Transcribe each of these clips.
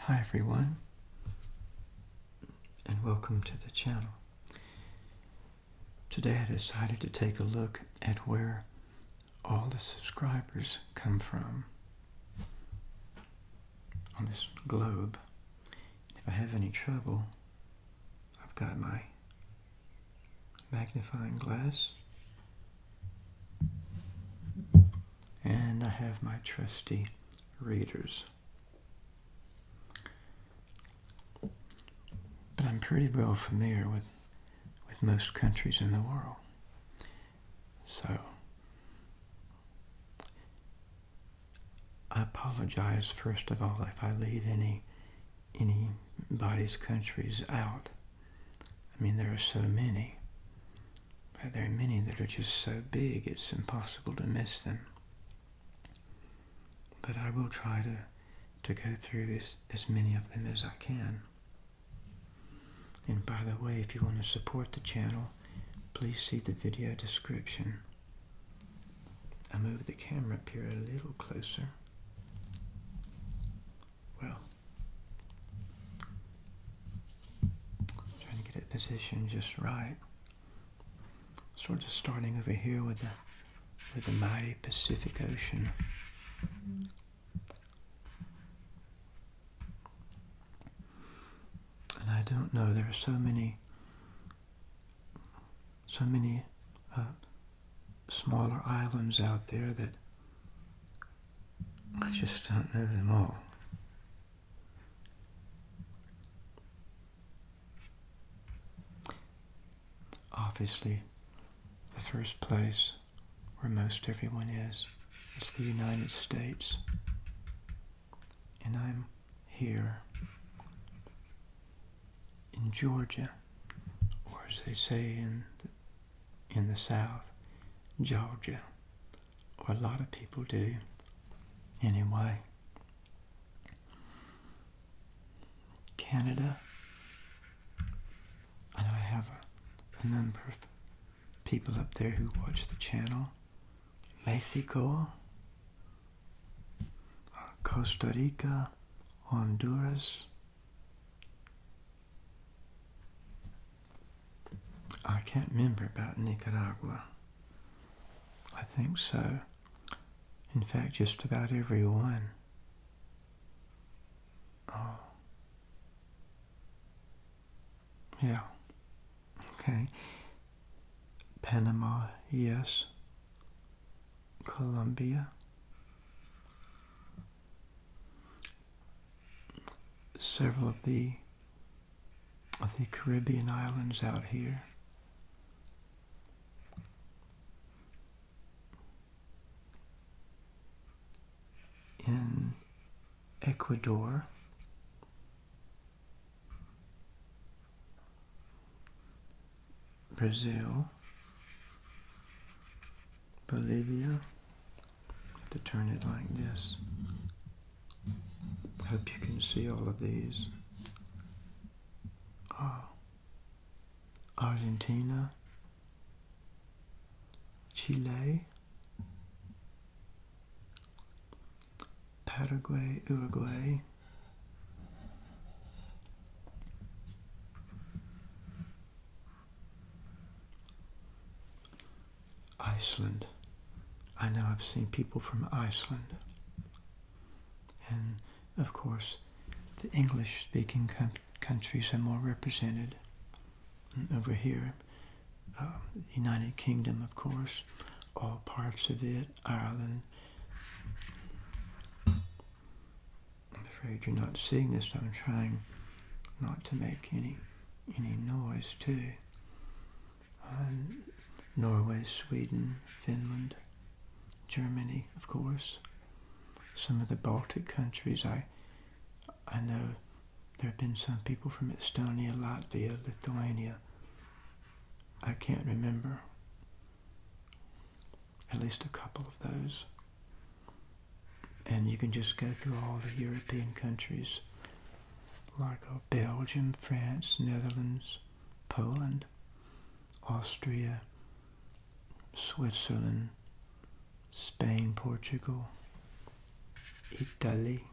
Hi everyone and welcome to the channel. Today I decided to take a look at where all the subscribers come from on this globe. If I have any trouble, I've got my magnifying glass and I have my trusty readers. But I'm pretty well familiar with, with most countries in the world. So, I apologize first of all if I leave any anybody's countries out. I mean, there are so many. But there are many that are just so big it's impossible to miss them. But I will try to, to go through as, many of them as I can. And by the way, if you want to support the channel, please see the video description. I move the camera up here a little closer. Well, Trying to get it positioned just right. Sort of starting over here with the with the mighty Pacific Ocean. And I don't know, there are so many so many uh, smaller islands out there that I just don't know them all. Obviously, the first place where most everyone is is the United States. And I'm here in Georgia, or as they say in in the South, Georgia, or a lot of people do anyway. Canada, I know I have a, a number of people up there who watch the channel. Mexico, uh, Costa Rica, Honduras, I can't remember about Nicaragua. I think so. In fact, just about every one. Oh. Yeah. Okay. Panama, yes. Colombia several of the of the Caribbean islands out here. In Ecuador, Brazil, Bolivia, to turn it like this. Hope you can see all of these. Oh. Argentina, Chile, Paraguay, Uruguay. Iceland. I know I've seen people from Iceland. And of course, the English speaking countries are more represented. over here, um, the United Kingdom, of course, all parts of it, Ireland. I'm afraid you're not seeing this. I'm trying not to make any any noise too. Um, Norway, Sweden, Finland, Germany, of course. Some of the Baltic countries, I, I know there have been some people from Estonia, Latvia, Lithuania. I can't remember. At least a couple of those and you can just go through all the European countries like uh, Belgium, France, Netherlands, Poland, Austria, Switzerland, Spain, Portugal, Italy,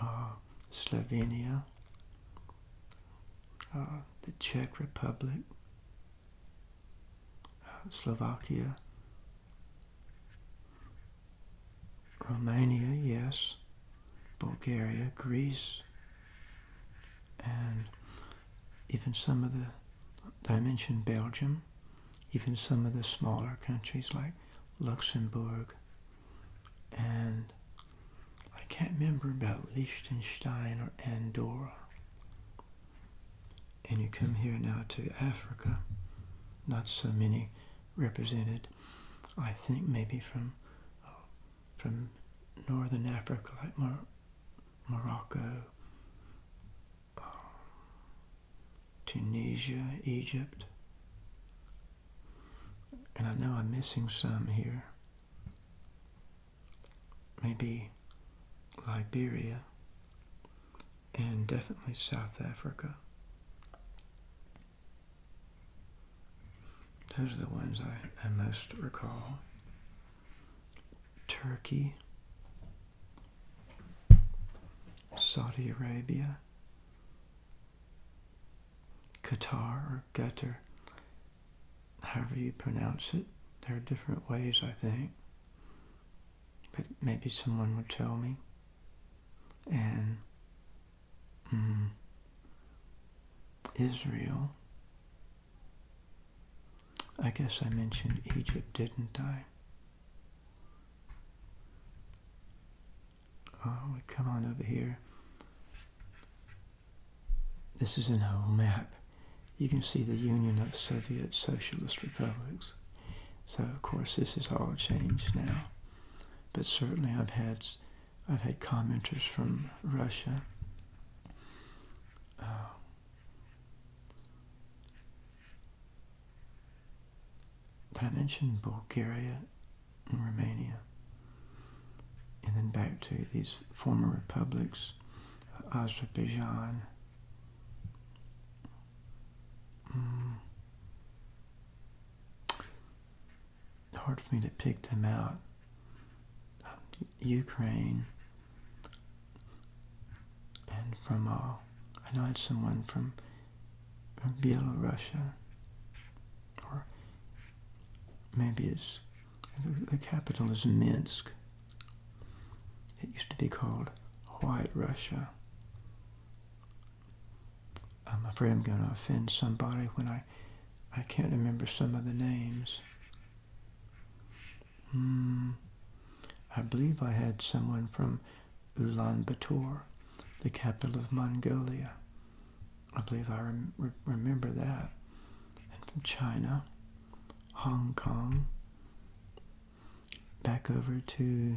uh, Slovenia, uh, the Czech Republic, uh, Slovakia, Romania, yes, Bulgaria, Greece, and even some of the, I mentioned Belgium, even some of the smaller countries like Luxembourg, and I can't remember about Liechtenstein or Andorra. And you come here now to Africa, not so many represented. I think maybe from oh, from northern Africa, like Morocco, oh, Tunisia, Egypt. And I know I'm missing some here. Maybe Liberia and definitely South Africa. Those are the ones I, most recall. Turkey, Saudi Arabia, Qatar or Qatar, however you pronounce it. There are different ways, I think but maybe someone would tell me. And mm, Israel. I guess I mentioned Egypt, didn't I? Oh, come on over here. This is an old map. You can see the Union of Soviet Socialist Republics. So of course this has all changed now. But certainly I've had I've had commenters from Russia. Uh, did I mention Bulgaria and Romania? And then back to these former republics, Azerbaijan, Mm. Hard for me to pick them out. Um, Ukraine, and from all, I know it's someone from, from Bielorussia, or maybe it's the capital is Minsk. It used to be called White Russia. I'm uh, afraid I'm going to offend somebody when I, I can't remember some of the names. Hmm. I believe I had someone from Ulaanbaatar, the capital of Mongolia. I believe I remember that. And from China, Hong Kong, back over to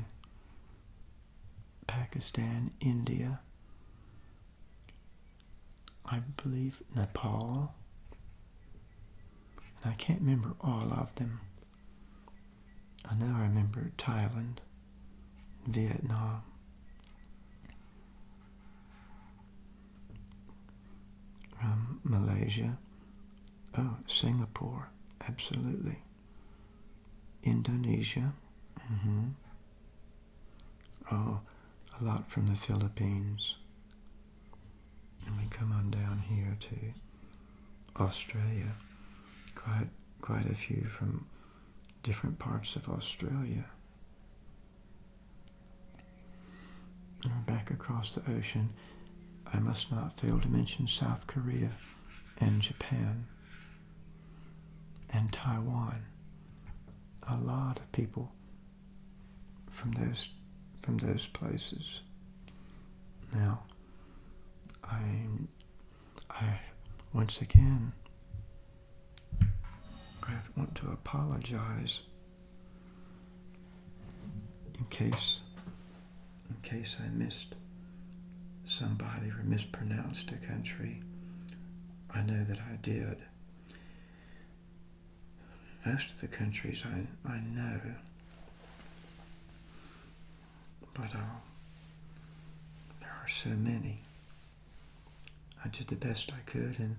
Pakistan, India, I believe Nepal, and I can't remember all of them. I know I remember Thailand, Vietnam. Um, Malaysia, Oh, Singapore, absolutely. Indonesia, mm -hmm. Oh, a lot from the Philippines. And we come on down here to Australia. Quite, quite a few from different parts of Australia. And back across the ocean I must not fail to mention South Korea and Japan and Taiwan. A lot of people from those from those places. Now, I I once again I want to apologize in case in case I missed somebody or mispronounced a country. I know that I did. Most of the countries I, I know, but uh, there are so many. I did the best I could, and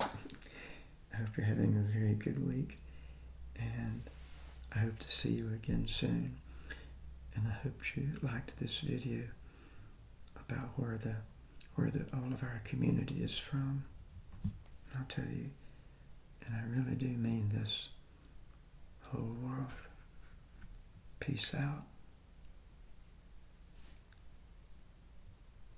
I hope you're having a very good week, and I hope to see you again soon. And I hope you liked this video about where the where the all of our community is from. I'll tell you, and I really do mean this whole world. Peace out.